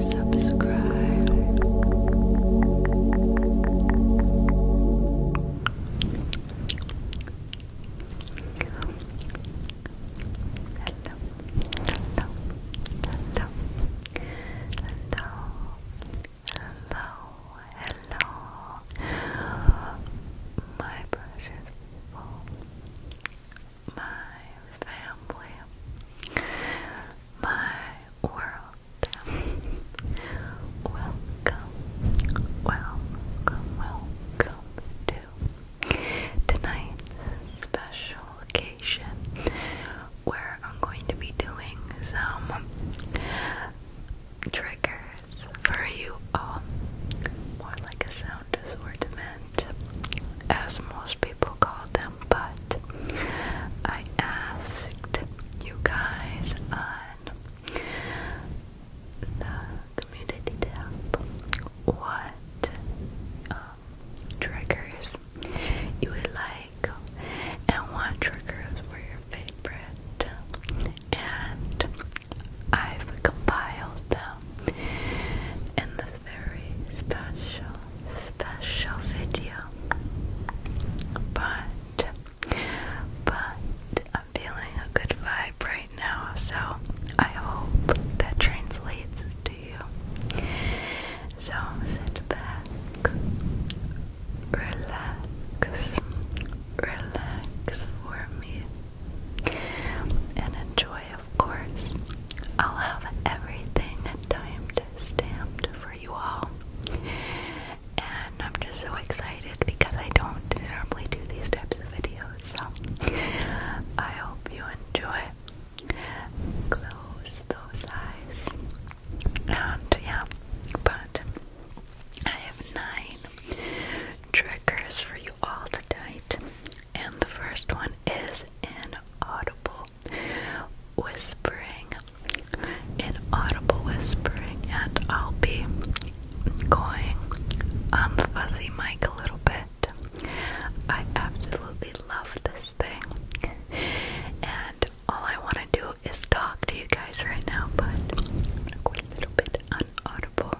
Subscribe. Hello. Hello. Hello. Hello. Hello. Hello my precious my family, my world. welcome, welcome, welcome to tonight's special occasion where I'm going to be doing some triggers for you all, more like a sound assortment, as most people call them, but I asked you guys on the community tab what um, triggers you would like and what triggers were your favorite and I've compiled them in this very special, special video. But, but I'm feeling a good vibe right now, so I hope that translates to you. So sit back, relax, relax for me. And enjoy, of course. I'll have everything timed stamped for you all. And I'm just so excited because I don't normally do these types of videos. So I hope you enjoy. Close those eyes. And yeah, but I have nine triggers for you all tonight. And the first one is inaudible whispering. Inaudible whispering, and I'll be going on fuzzy mic a little bit. I absolutely love this thing, and all I want to do is talk to you guys right now, but I'm going a little bit unaudible.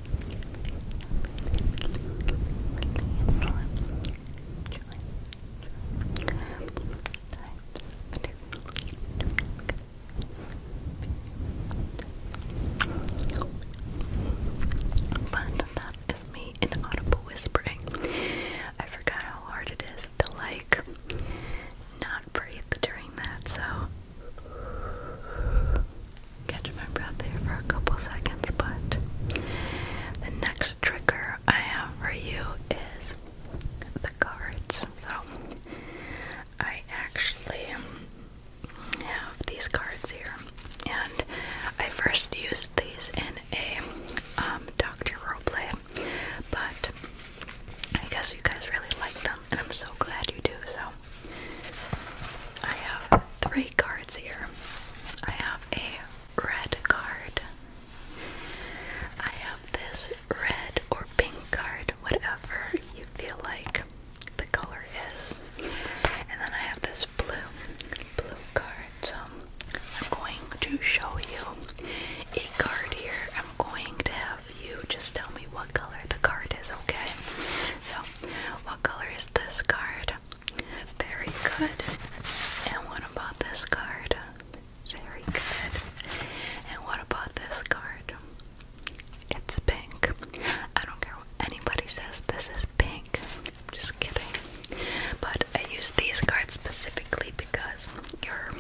But that is me in audible whispering. I forgot how hard it is to like not breathe during that, so catch my breath there for a couple seconds, but the next trigger I have for you is the cards. So I actually have these cards here, and I first used these in a um, Doctor Roleplay, but I guess you guys really like them, and I'm so glad you do. So I have three cards here. I have a red card. I have this red or pink card, whatever you feel like the color is. And then I have this blue, blue card. So I'm going to show you a card here. I'm going to have you just tell me what color the card is, okay? So, what color is this card? Very good. And what about this card? Very good. And what about this card? It's pink. I don't care what anybody says, this is pink. Just kidding. But I use these cards specifically because your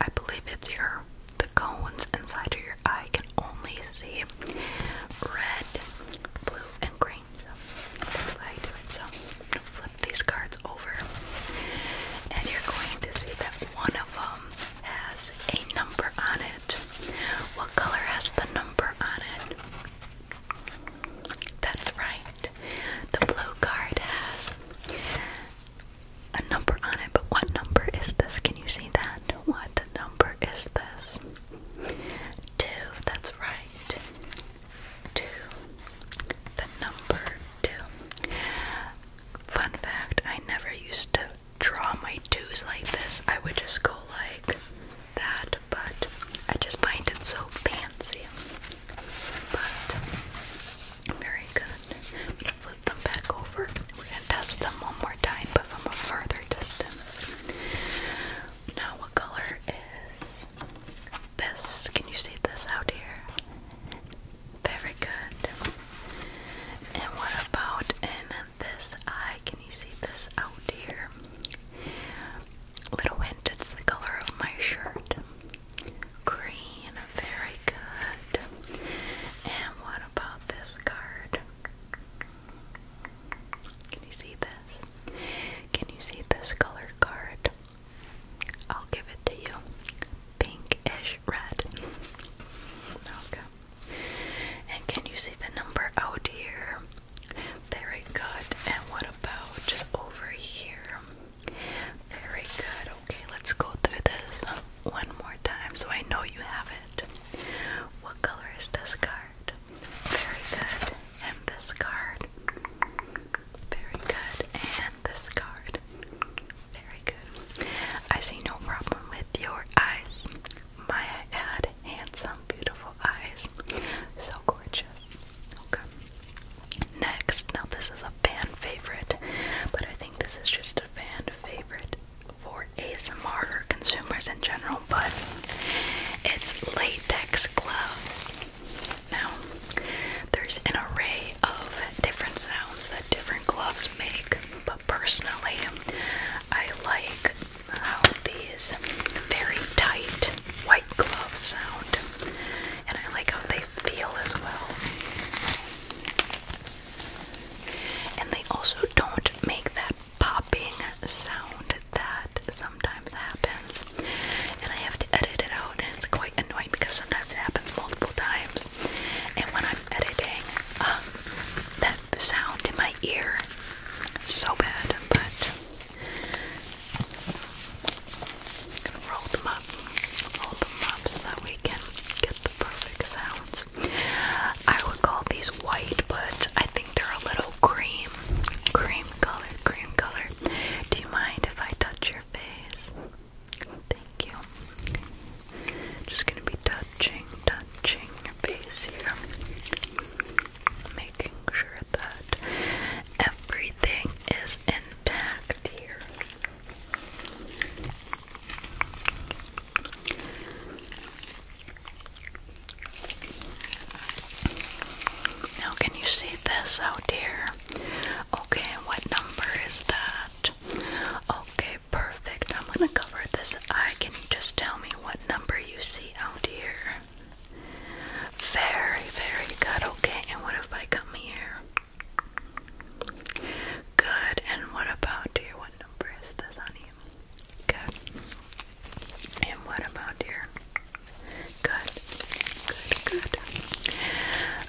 I believe it's your the cones inside of your eye can only see red, blue, and green so that's why I do it. So I'm gonna flip these cards over, and you're going to see that one of them has a number on it. What color has the number on it? That's right. The blue card has a number on it, but what number is this? Can you see that? What number is this? Two, that's right. Two, the number two. Fun fact I never used to draw my twos like this, I would just go like that, but I just find it so fancy. But very good. flip them back over. We're gonna test them one more time, but from a further distance. Now, what color is this? Can you see this out here? Very good. And what about in this eye? Can you see this out here? Little hint, it's the color of my shirt. Green, very good. And what about this card? Can you see this? Can you see this color card? I'll give it to you. Pinkish red. Okay. And can you see the number out here? Very good. And what about just over here? Very good. Okay, let's go through this one more time so I know you have it. What color is this card? Very good. And this card. Very good. And this card. Very good. I see no problem with your eyes. Maya had handsome, beautiful eyes. So gorgeous. Okay. Next, now this is a fan favorite, but I think this is just a fan favorite for ASMR or consumers in general button. It's latex gloves. Now, there's an array of different sounds that different gloves make, but personally, I like how these very tight white gloves sound, and I like how they feel as well. And they also don't make that popping sound that sometimes happens, and I have to edit it out, it's quite annoying because sometimes it happens multiple times. And when I'm editing, um, that sound in my ear, so bad. But roll them up, roll them up, so that we can get the perfect sounds. I would call these white, but I think they're a little cream, cream color, cream color. Do you mind if I touch your face? Thank you. Just gonna be touching, touching your face here. Making sure that everything is intact here. Now, can you see this out here? Okay, what number is that? Okay, perfect. I'm gonna cover this eye. Can you just tell me what number you see out here? Very, very good. Okay, and what if I come here? Good, and what about here? What number is this on Good. And what about here? Good. Good, good.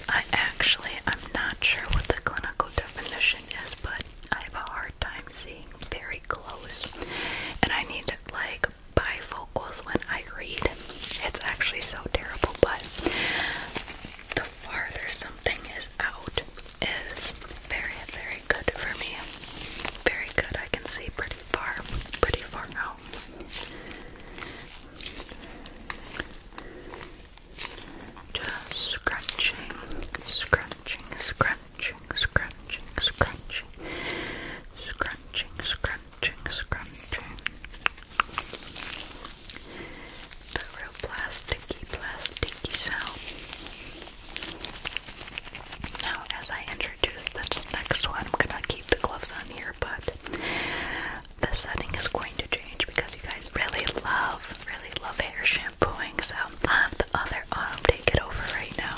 I actually, I'm not sure what the clinical definition is, but I have a hard time seeing very close. And I need to, like, bifocals when I read. It's actually so terrible, but the farther something is out is very, very good for me. Very good. I can see pretty far, pretty far now. Just scratching, scratching, scratching, scratching, scratching, scratching, scratching, scratching. The real plasticky, plasticky sound. Now, as I introduce this next one, I'm gonna keep the gloves on here, but the setting is going to change because you guys really love, really love hair shampooing. So I have the other autumn take it over right now.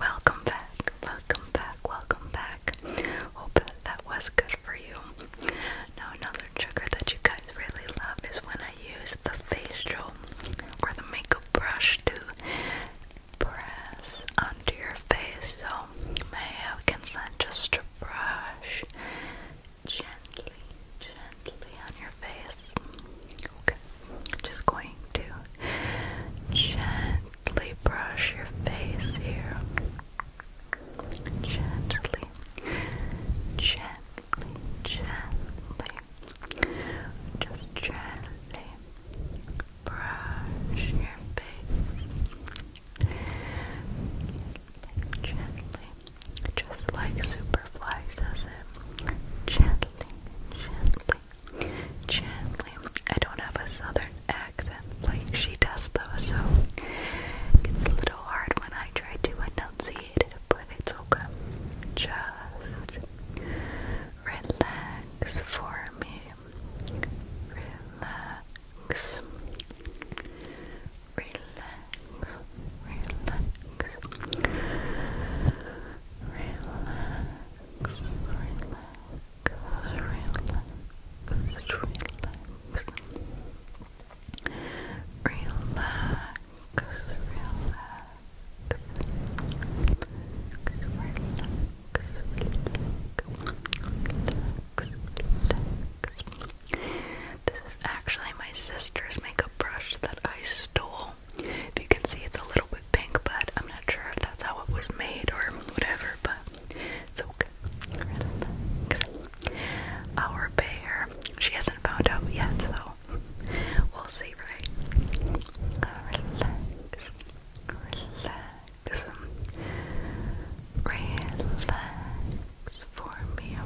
Welcome back, welcome back, welcome back. Hope that, was good for you. Now, another trigger that you guys really love is when I use the facial or the makeup brush to press onto your face so my hair can just to brush gently, gently on your face. Okay, just going to gently brush your face here gently, gently, gently, just gently brush your face, gently, just like Superfly does it, gently, gently, gently. I don't have a southern accent like she does though, so it's a little hard when I try to enunciate but it's okay. Just relax for me. Relax. Relax. Relax. Relax relax, relax, relax. Relax, This is actually my sister's makeup brush that I stole. If you can see, it's a little bit pink, but I'm not sure if that's how it was made or whatever, but it's okay. Our bear, she hasn't found out yet, so we'll see, right? Relax, relax, relax for me.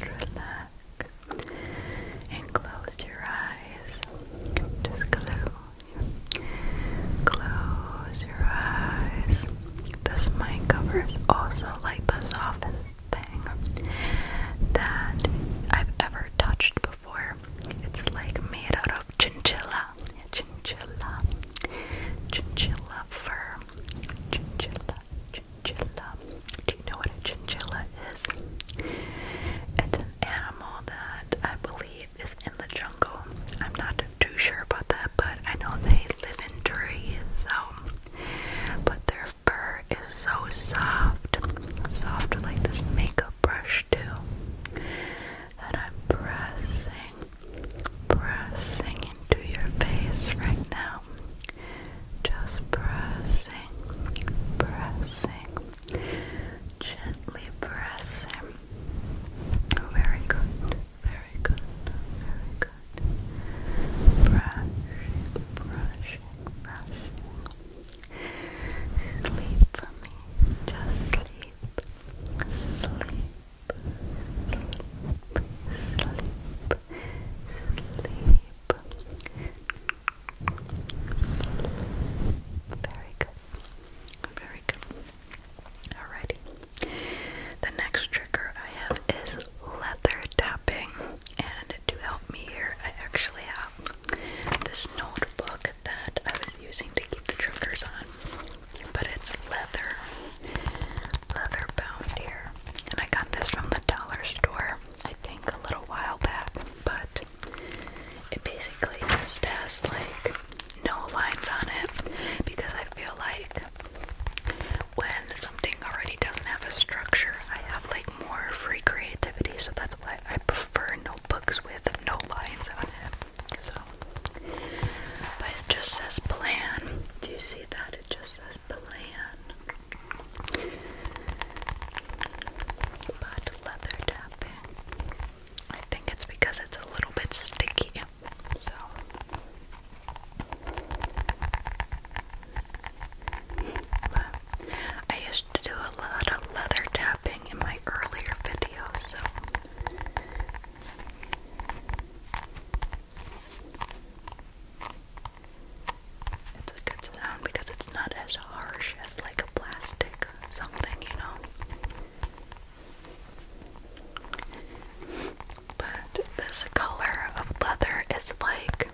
relax and close your eyes. Just close Close your eyes. This mic cover is also like the softest thing that I've ever touched before. It's like made out of chinchilla, chinchilla, chinchilla fur, chinchilla, chinchilla. Do you know what a chinchilla is? It's an animal that I believe is in the jungle. I'm not too sure about that, but I know they live in trees, so. But their fur is so soft, soft like this makeup brush too. And I'm pressing, pressing into your face right now. Just pressing, pressing, gently pressing very good. Very good. Very good. Brushing, brushing, brushing. Sleep for me. Just sleep. Sleep. Sleep. Sleep. Very good. Very good. Alrighty. The next trigger I have is leather tapping, and to help me here, I actually have this notebook that I was using to keep the triggers on, but it's leather, leather bound here, and I got this from the dollar store, I think, a little while back, but it basically just has like no lines on it because I feel like when something already doesn't have a structure, I have like more free creativity, so that's why I prefer notebooks with no lines on it. So, but it just says plan. Do you see that? It just says plan. But leather tapping. I think it's because it's a little bit sticky so but I used to do a lot of leather tapping in my earlier videos, so it's a good sound because it's not as harsh as like a plastic something, you know. But this color of leather is like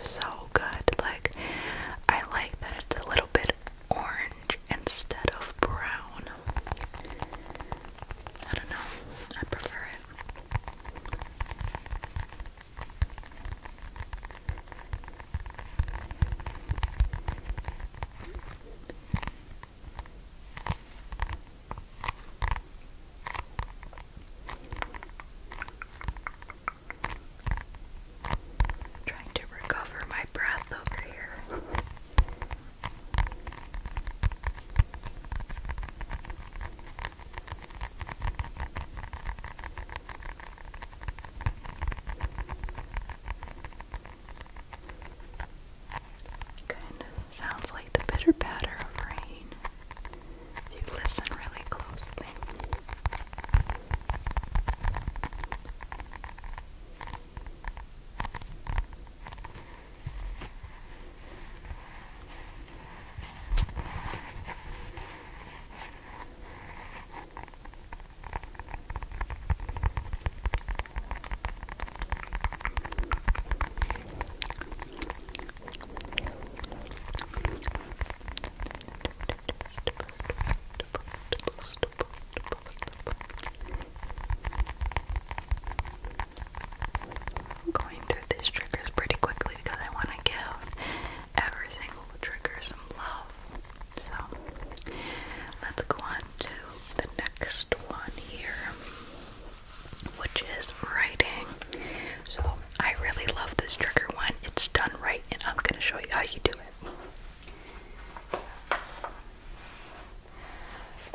so good. Like, I like that it's a little bit orange instead of brown. I don't know, I prefer it. I'm trying to recover my breath over here. Kind of sounds like the bitter patter of rain. If you listen really closely. I'm going through these triggers pretty quickly because I want to give every single trigger some love. So let's go on to the next one here, which is writing. So I really love this trigger one. It's done right, and I'm going to show you how you do it.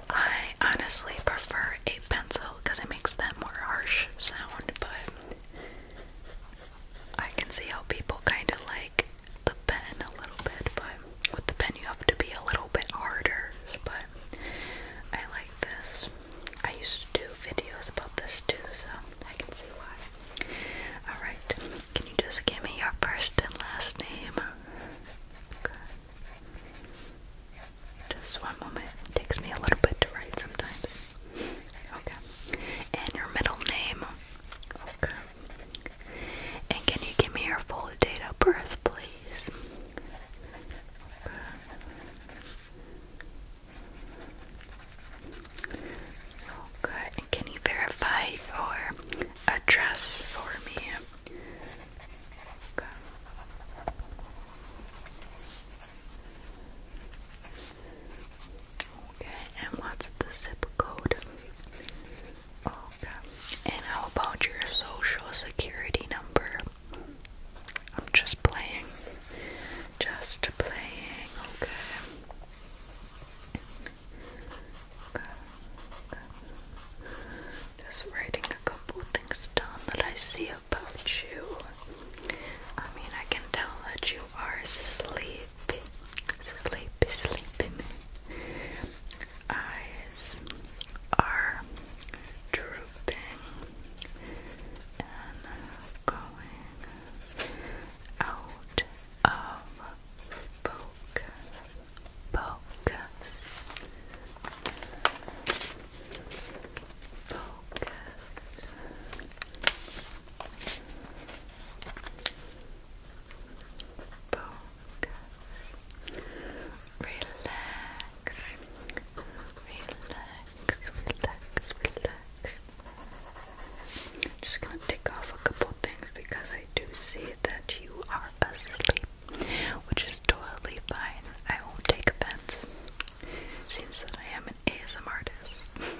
I honestly prefer a pencil because it makes that more harsh sound, but I can see how people kind of like the pen a little bit, but with the pen you have to be a little bit harder. But I like this. I used to do videos about this too, so I can see why. Alright, can you just give me your first and last name? Okay. Just one moment. takes me a little bit to write sometimes. Okay. And your middle name. Okay. And can you give me your full date of birth, please? Okay, can you verify your address for me? Okay. Okay, and what's the zip code? And how about your social security number? I'm just playing. Just playing, Okay. okay. Just writing a couple things down that I see about you. I mean, I can tell that you are sleepy, sleepy, sleepy eyes are drooping and going out of focus. Focus. Focus focus, relax, relax, relax, relax. I'm just gonna take off a couple things because I do see that you are asleep, which is totally fine. I won't take offense. Seems that I am an ASM artist.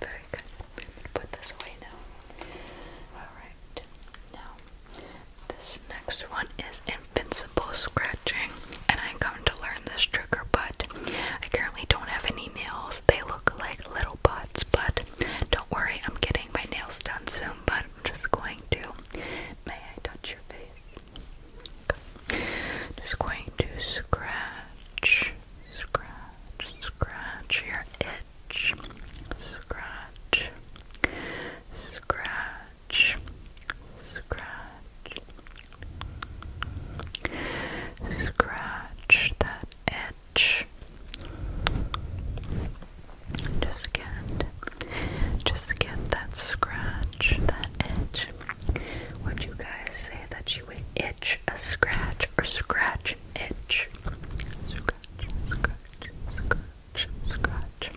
very good. Put this away now. Alright, now this next one is invincible scratching, and I am going to learn this trigger, but I currently don't have any nails. They look like little bots, but don't worry, I'm getting my nails done soon. But I'm just going to. May I touch your face? Just going to scratch, scratch, scratch your itch. Scratch, scratch, scratch, scratch that itch. Just get just get that scratch, that itch. Would you guys say that you would itch a scratch or scratch itch? Scratch, scratch, scratch, scratch.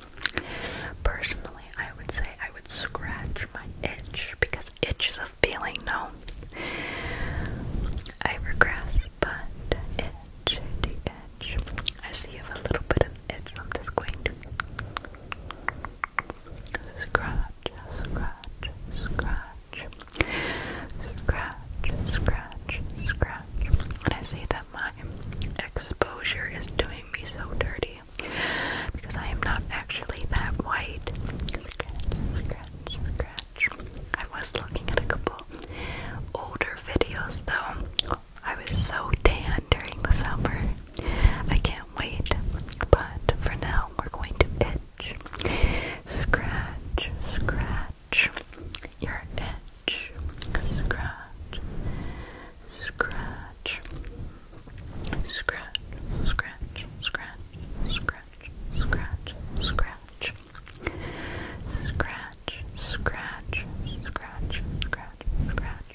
Personally, I would say I would scratch my itch because itch is a feeling, no? I regress, but itch, itch. I see you have a little bit an just going to scratch, scratch, scratch, scratch, scratch, scratch. And I see that my exposure is doing me so dirty because I am not actually that white. I was looking at a couple older videos though I was so tan during the summer. I can't wait. But for now, we're going to itch. Scratch, scratch your itch. Scratch, scratch, scratch, scratch, scratch, scratch, scratch, scratch. Scratch, scratch, scratch, scratch, scratch.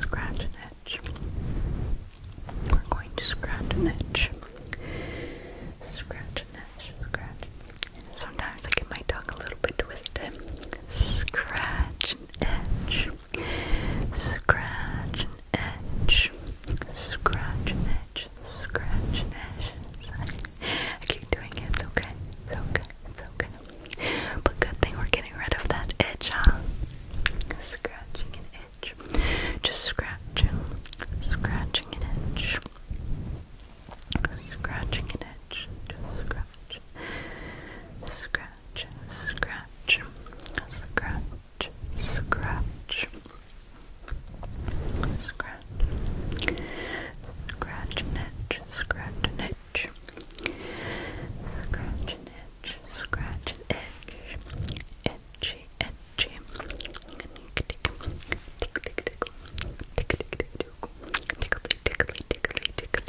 Scratch an itch. We're going to scratch an itch. Scratch an itch. Scratch. Sometimes I get my tongue a little bit twisted. Scratch an itch. Scratch an itch. Scratch an itch. Scratch an itch. I keep doing it. It's okay. It's okay. It's okay. But good thing we're getting rid of that itch, huh? Scratching an itch. Just scratching. Scratching an itch. Scratching an itch. Just scratch. Scratch. Scratch. Scratch. Scratch. Scratch. Scratch an itch. Scratch an itch itch. Scratch and itch. Scratch and itch. Itchy, itchy. Tickly, tickly, tickly, tickly. Tickly,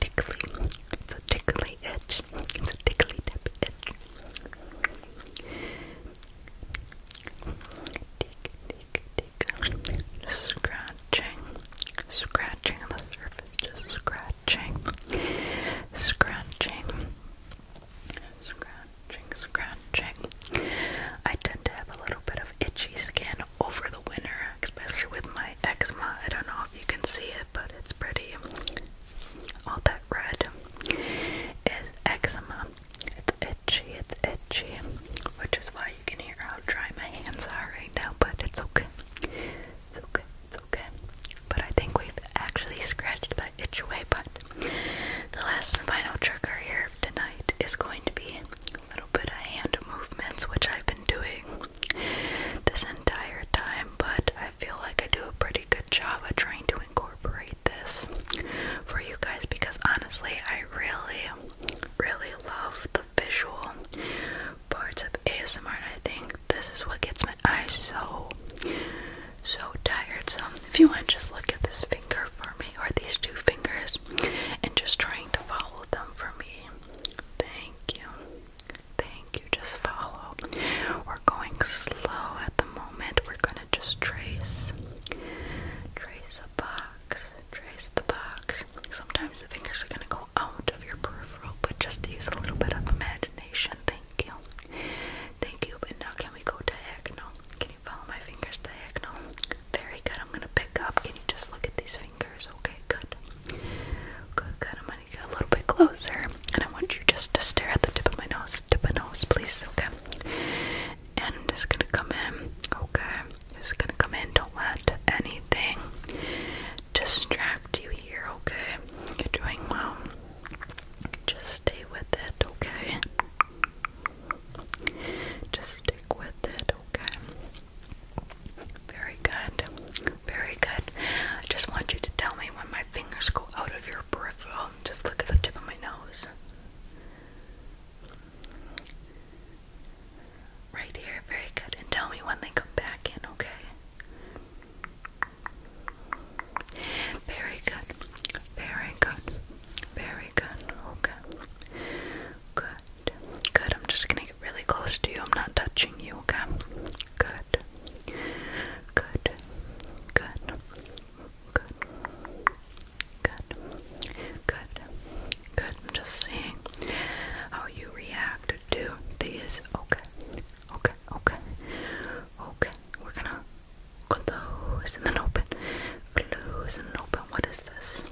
tickly. It's a tickly itch. It's a tickly tip itch. Tick, tick, tick. Just scratch scratching, scratching the surface, just scratching, scratching, scratching, scratching. I tend to have a little bit of itchy skin over the winter, especially with my eczema. I don't know if you can see it, but it's pretty. All that red is eczema. It's itchy, it's itchy, which is why sorry you can hear how dry my hands are right now, but it's okay. It's okay. It's okay. But I think we've actually scratched that itch away. But the last and final trigger here tonight is going to be a little bit of hand movements, which I've been doing this entire time, but I feel like I do a pretty good job of trying to incorporate this for you guys because honestly, I really, really love the visual parts of ASMR, and I think this is what gets my eyes so, so tired. So, if you want, just look at this finger for me, or these two fingers, and just trying to follow them for me. Thank you. Thank you. Just follow. We're going slow at the moment. We're gonna just trace, trace a box, trace the box. Sometimes the fingers are gonna go out of your peripheral, but just use a little bit of imagination. Thank you. Thank you. But now, can we go diagonal? Can you follow my fingers diagonal? Very good. I'm going to pick up. Can you just look at these fingers? Okay, good. Good, good. I'm going to get a little bit closer. And I want you just to stare at the tip of my nose. Tip of nose, please. Okay. And I'm just going to come in. Okay. Just gonna come in, don't let anything distract you here, okay? You're doing well. Just stay with it, okay? Just stick with it, okay? Very good. Very good. I just want you to tell me when my fingers go out of your peripheral. Just look at the tip of my nose. Right here, very good. And tell me when they come back in, okay? Very good. Very good. Very good. Okay. Good. Good. I'm just gonna get really close to you. I'm not touching you, okay? Good. Good. Good. Good. Good. Good. Good. I'm just seeing how you react to these. Okay. Okay. Okay. Okay. We're gonna close and then open. Close and open. What is this?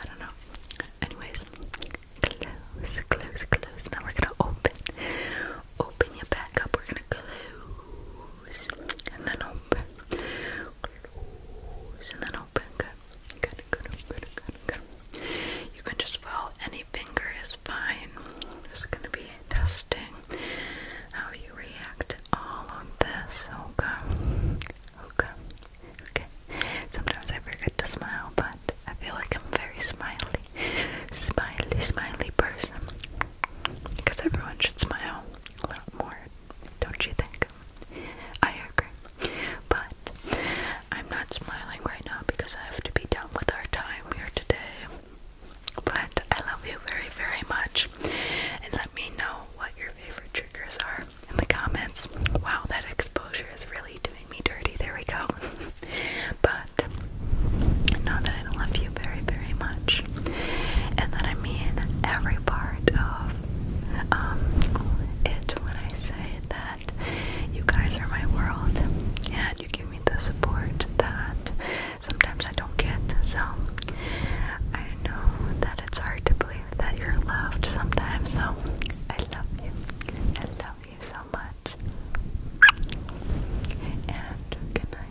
I don't know. Anyways, close, close, close. Now we're gonna open. Open your back up. We're gonna close and then open. Close and then open. Good. Good, good, good, good, good. You can just follow any finger is fine. just gonna be testing how you react to all of this. Okay. Okay. Okay. Sometimes I forget to smile, but I feel like I'm a very smiley, smiley, smiley person. Because everyone should smile a lot more, don't you think? I agree. But I'm not smiling right now because I have to be done with our time here today. But I love you very, very much. And let me know what your favorite triggers are in the comments. Wow, that exposure is really doing me dirty. There we go. but know that I don't love you very, very much. And that I mean every part of um, it when I say that you guys are my world and you give me the support that sometimes I don't get. So I know that it's hard to believe that you're loved sometimes. So I love you. I love you so much. And good night.